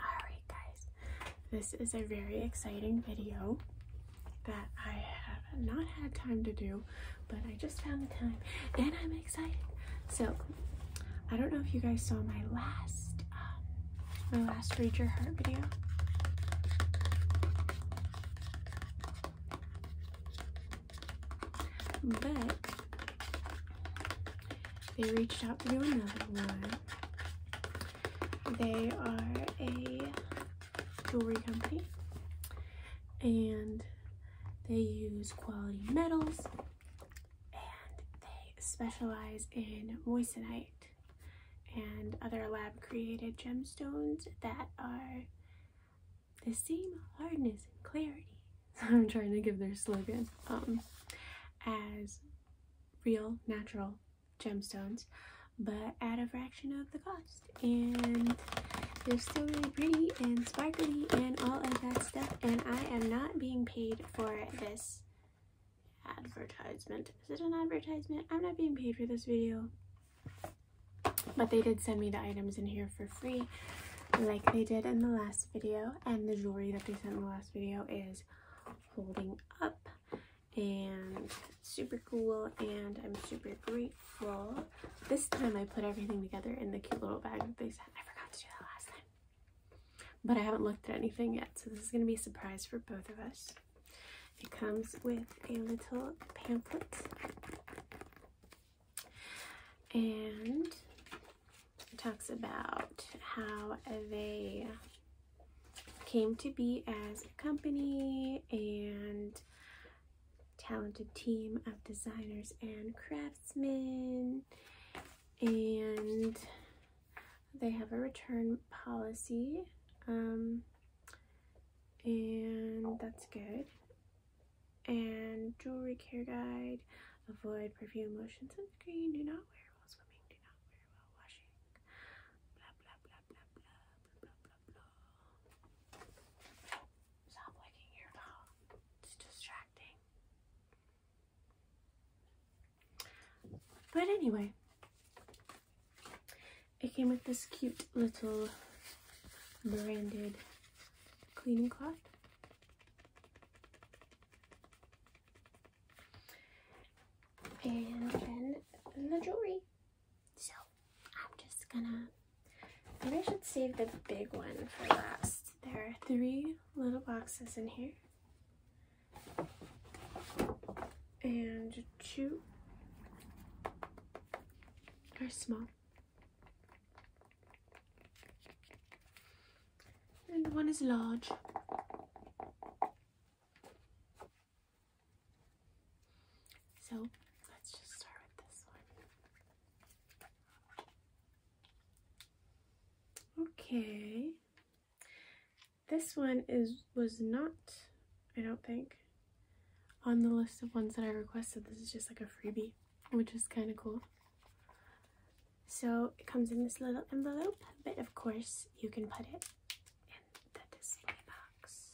Alright, guys, this is a very exciting video that I have not had time to do, but I just found the time and I'm excited. So, I don't know if you guys saw my last, um, my last Read Your Heart video. But they reached out to do another one. They are a jewelry company and they use quality metals and they specialize in moissanite and other lab created gemstones that are the same hardness and clarity I'm trying to give their slogan, um, as real natural gemstones, but at a fraction of the cost. And they're still really pretty and sparkly and all of that stuff. And I am not being paid for this advertisement. Is it an advertisement? I'm not being paid for this video. But they did send me the items in here for free like they did in the last video and the jewelry that they sent in the last video is holding up and super cool and I'm super grateful. This time I put everything together in the cute little bag that they sent. I forgot to do that last time. But I haven't looked at anything yet so this is going to be a surprise for both of us. It comes with a little pamphlet and it talks about how they came to be as a company and talented team of designers and craftsmen and they have a return policy um, and that's good and jewelry care guide. Avoid perfume, lotion, sunscreen. Do not wear while swimming. Do not wear while washing. Blah blah blah blah blah blah blah blah. Stop licking your dog. It's distracting. But anyway, it came with this cute little branded cleaning cloth. And then the jewelry. So I'm just gonna, maybe I should save the big one for last. There are three little boxes in here. And two are small. And one is large. So let's just start with this one. Okay. This one is was not, I don't think on the list of ones that I requested. This is just like a freebie, which is kind of cool. So it comes in this little envelope, but of course you can put it in the display box.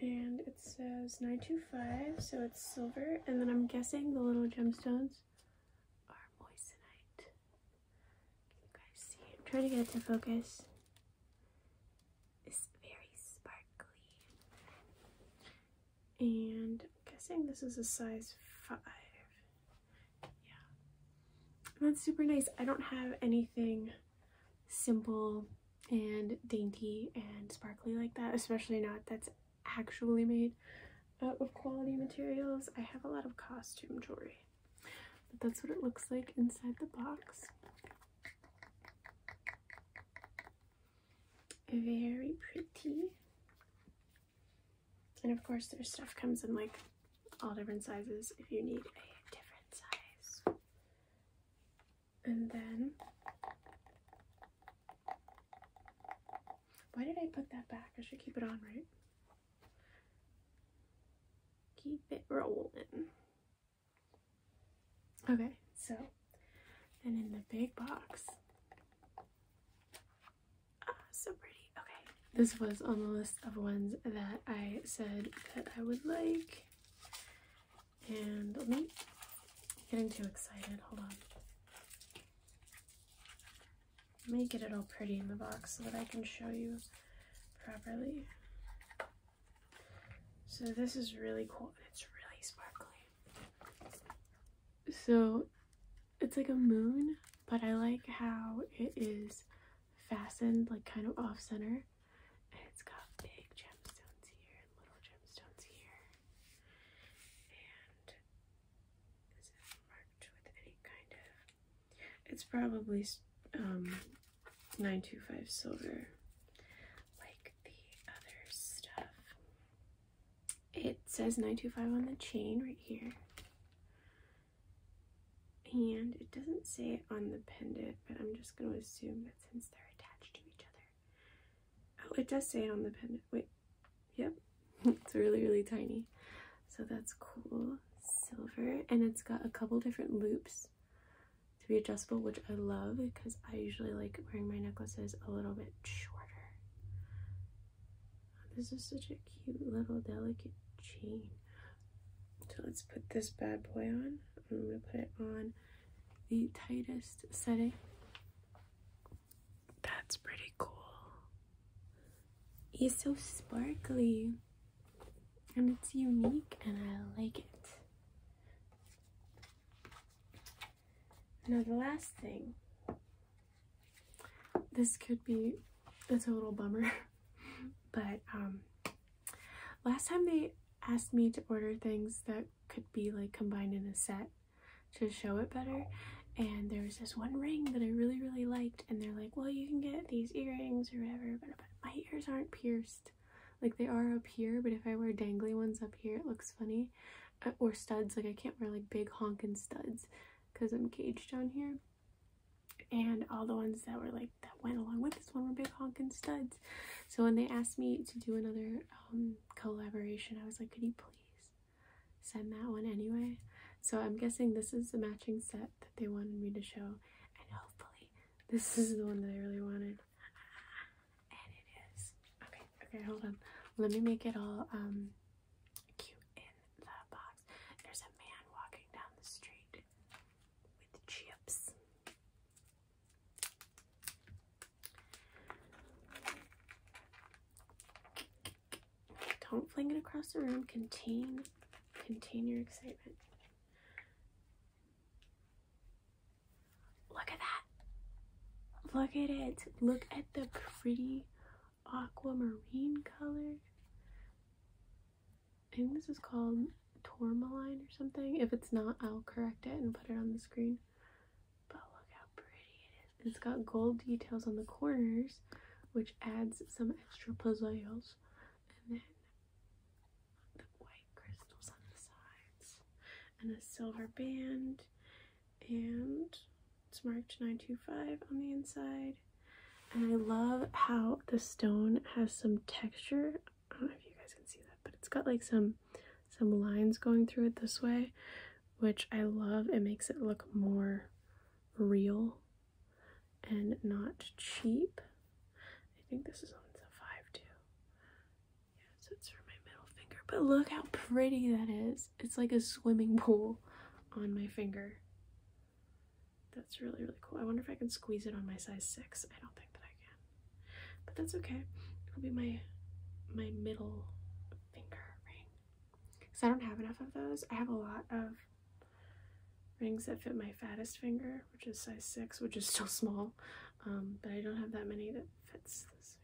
And it says 925, so it's silver, and then I'm guessing the little gemstones are moissanite. Can you guys see? I'm trying to get it to focus is very sparkly. And I'm guessing this is a size 5. Yeah. that's super nice. I don't have anything simple and dainty and sparkly like that, especially not that's actually made out uh, of quality materials. I have a lot of costume jewelry. But that's what it looks like inside the box. Very pretty. And of course, their stuff comes in like all different sizes if you need a different size. And then, why did I put that back? I should keep it on, right? Keep it rolling. Okay, so then in the big box. Ah, so pretty. Okay, this was on the list of ones that I said that I would like. And I'm getting too excited, hold on. Let me get it all pretty in the box so that I can show you properly. So this is really cool it's really sparkly. So it's like a moon, but I like how it is fastened like kind of off center. And it's got big gemstones here and little gemstones here. And is it marked with any kind of it's probably um, 925 silver, like the other stuff. It says 925 on the chain right here. And it doesn't say it on the pendant, but I'm just going to assume that since they're attached to each other. Oh, it does say it on the pendant. Wait, Yep, it's really, really tiny. So that's cool. Silver, and it's got a couple different loops to be adjustable, which I love because I usually like wearing my necklaces a little bit shorter. This is such a cute little delicate chain. So let's put this bad boy on. I'm gonna put it on the tightest setting. That's pretty cool. It's so sparkly and it's unique and I like it. Now, the last thing this could be a total bummer, but um, last time they asked me to order things that could be like combined in a set to show it better and there was this one ring that I really really liked and they're like well you can get these earrings or whatever but my ears aren't pierced like they are up here but if I wear dangly ones up here it looks funny uh, or studs like I can't wear like big honkin studs because I'm caged down here and all the ones that were like that went along with this one were big honkin studs so when they asked me to do another um, collaboration I was like could you please send that one anyway. So I'm guessing this is the matching set that they wanted me to show, and hopefully this is the one that I really wanted. And it is. Okay, okay, hold on. Let me make it all um cute in the box. There's a man walking down the street with chips. Don't fling it across the room. Contain, contain your excitement. Look at that. Look at it. Look at the pretty aquamarine color. I think this is called tourmaline or something. If it's not, I'll correct it and put it on the screen. But look how pretty it is. It's got gold details on the corners, which adds some extra pizzazz. And then the white crystals on the sides. And a silver band. And it's marked 925 on the inside. And I love how the stone has some texture. I don't know if you guys can see that, but it's got like some some lines going through it this way, which I love. It makes it look more real and not cheap. I think this is on size five too. Yeah, so it's for my middle finger. But look how pretty that is. It's like a swimming pool on my finger. That's really, really cool. I wonder if I can squeeze it on my size six. I don't think that I can but that's okay. It'll be my my middle finger ring. Cause I don't have enough of those. I have a lot of rings that fit my fattest finger, which is size six, which is still small. Um, but I don't have that many that fits this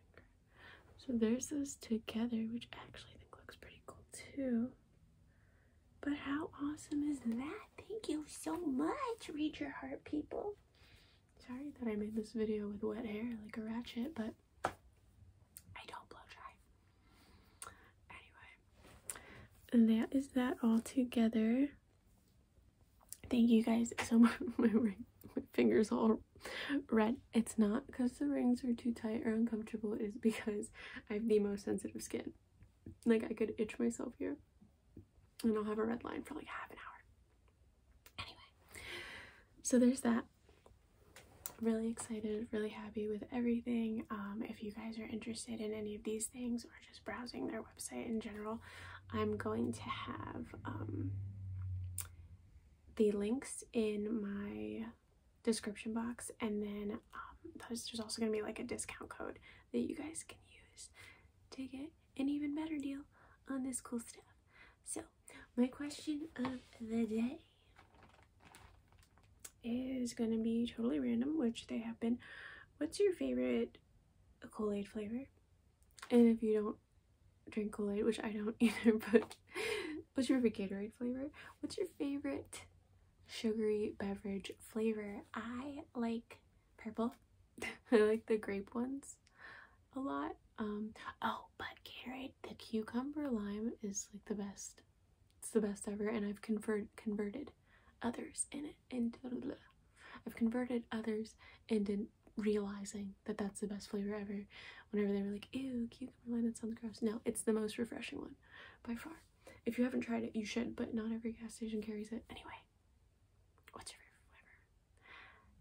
So there's those together, which I actually think looks pretty cool too. But how awesome is that? Thank you so much, read your heart people. Sorry that I made this video with wet hair like a ratchet, but I don't blow dry. Anyway, that is that all together. Thank you guys so much. My, ring, my fingers all red. It's not because the rings are too tight or uncomfortable. It's because I have the most sensitive skin. Like I could itch myself here and I'll have a red line for like half an hour. Anyway, so there's that. Really excited, really happy with everything. Um, if you guys are interested in any of these things or just browsing their website in general, I'm going to have um, the links in my description box and then um, there's, there's also going to be like a discount code that you guys can use to get an even better deal on this cool stuff. So, my question of the day is going to be totally random, which they happen. What's your favorite Kool-Aid flavor? And if you don't drink Kool-Aid, which I don't either, but what's your favorite Gatorade flavor? What's your favorite sugary beverage flavor? I like purple. I like the grape ones a lot. Um, oh, but Gatorade, the cucumber lime is like the best. It's the best ever, and I've convert converted others in it into. I've converted others into realizing that that's the best flavor ever. Whenever they were like, "Ew, cucumber lime, that sounds gross." No, it's the most refreshing one, by far. If you haven't tried it, you should. But not every gas station carries it. Anyway, what's your favorite flavor?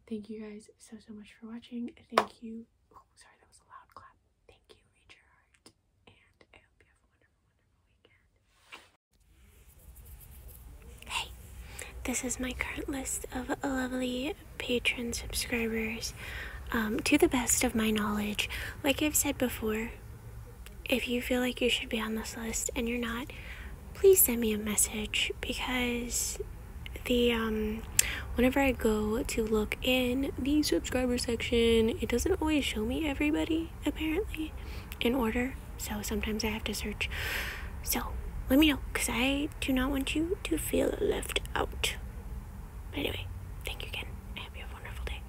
Thank you guys so so much for watching. Thank you. Oh, sorry, that was a loud clap. Thank you, read your heart, and I hope you have a wonderful, wonderful weekend. Hey, this is my current list of lovely patron subscribers. Um, to the best of my knowledge, like I've said before, if you feel like you should be on this list and you're not, please send me a message because the um whenever I go to look in the subscriber section, it doesn't always show me everybody apparently in order. So sometimes I have to search. So let me know because I do not want you to feel left out. But anyway, thank you again. have a wonderful day.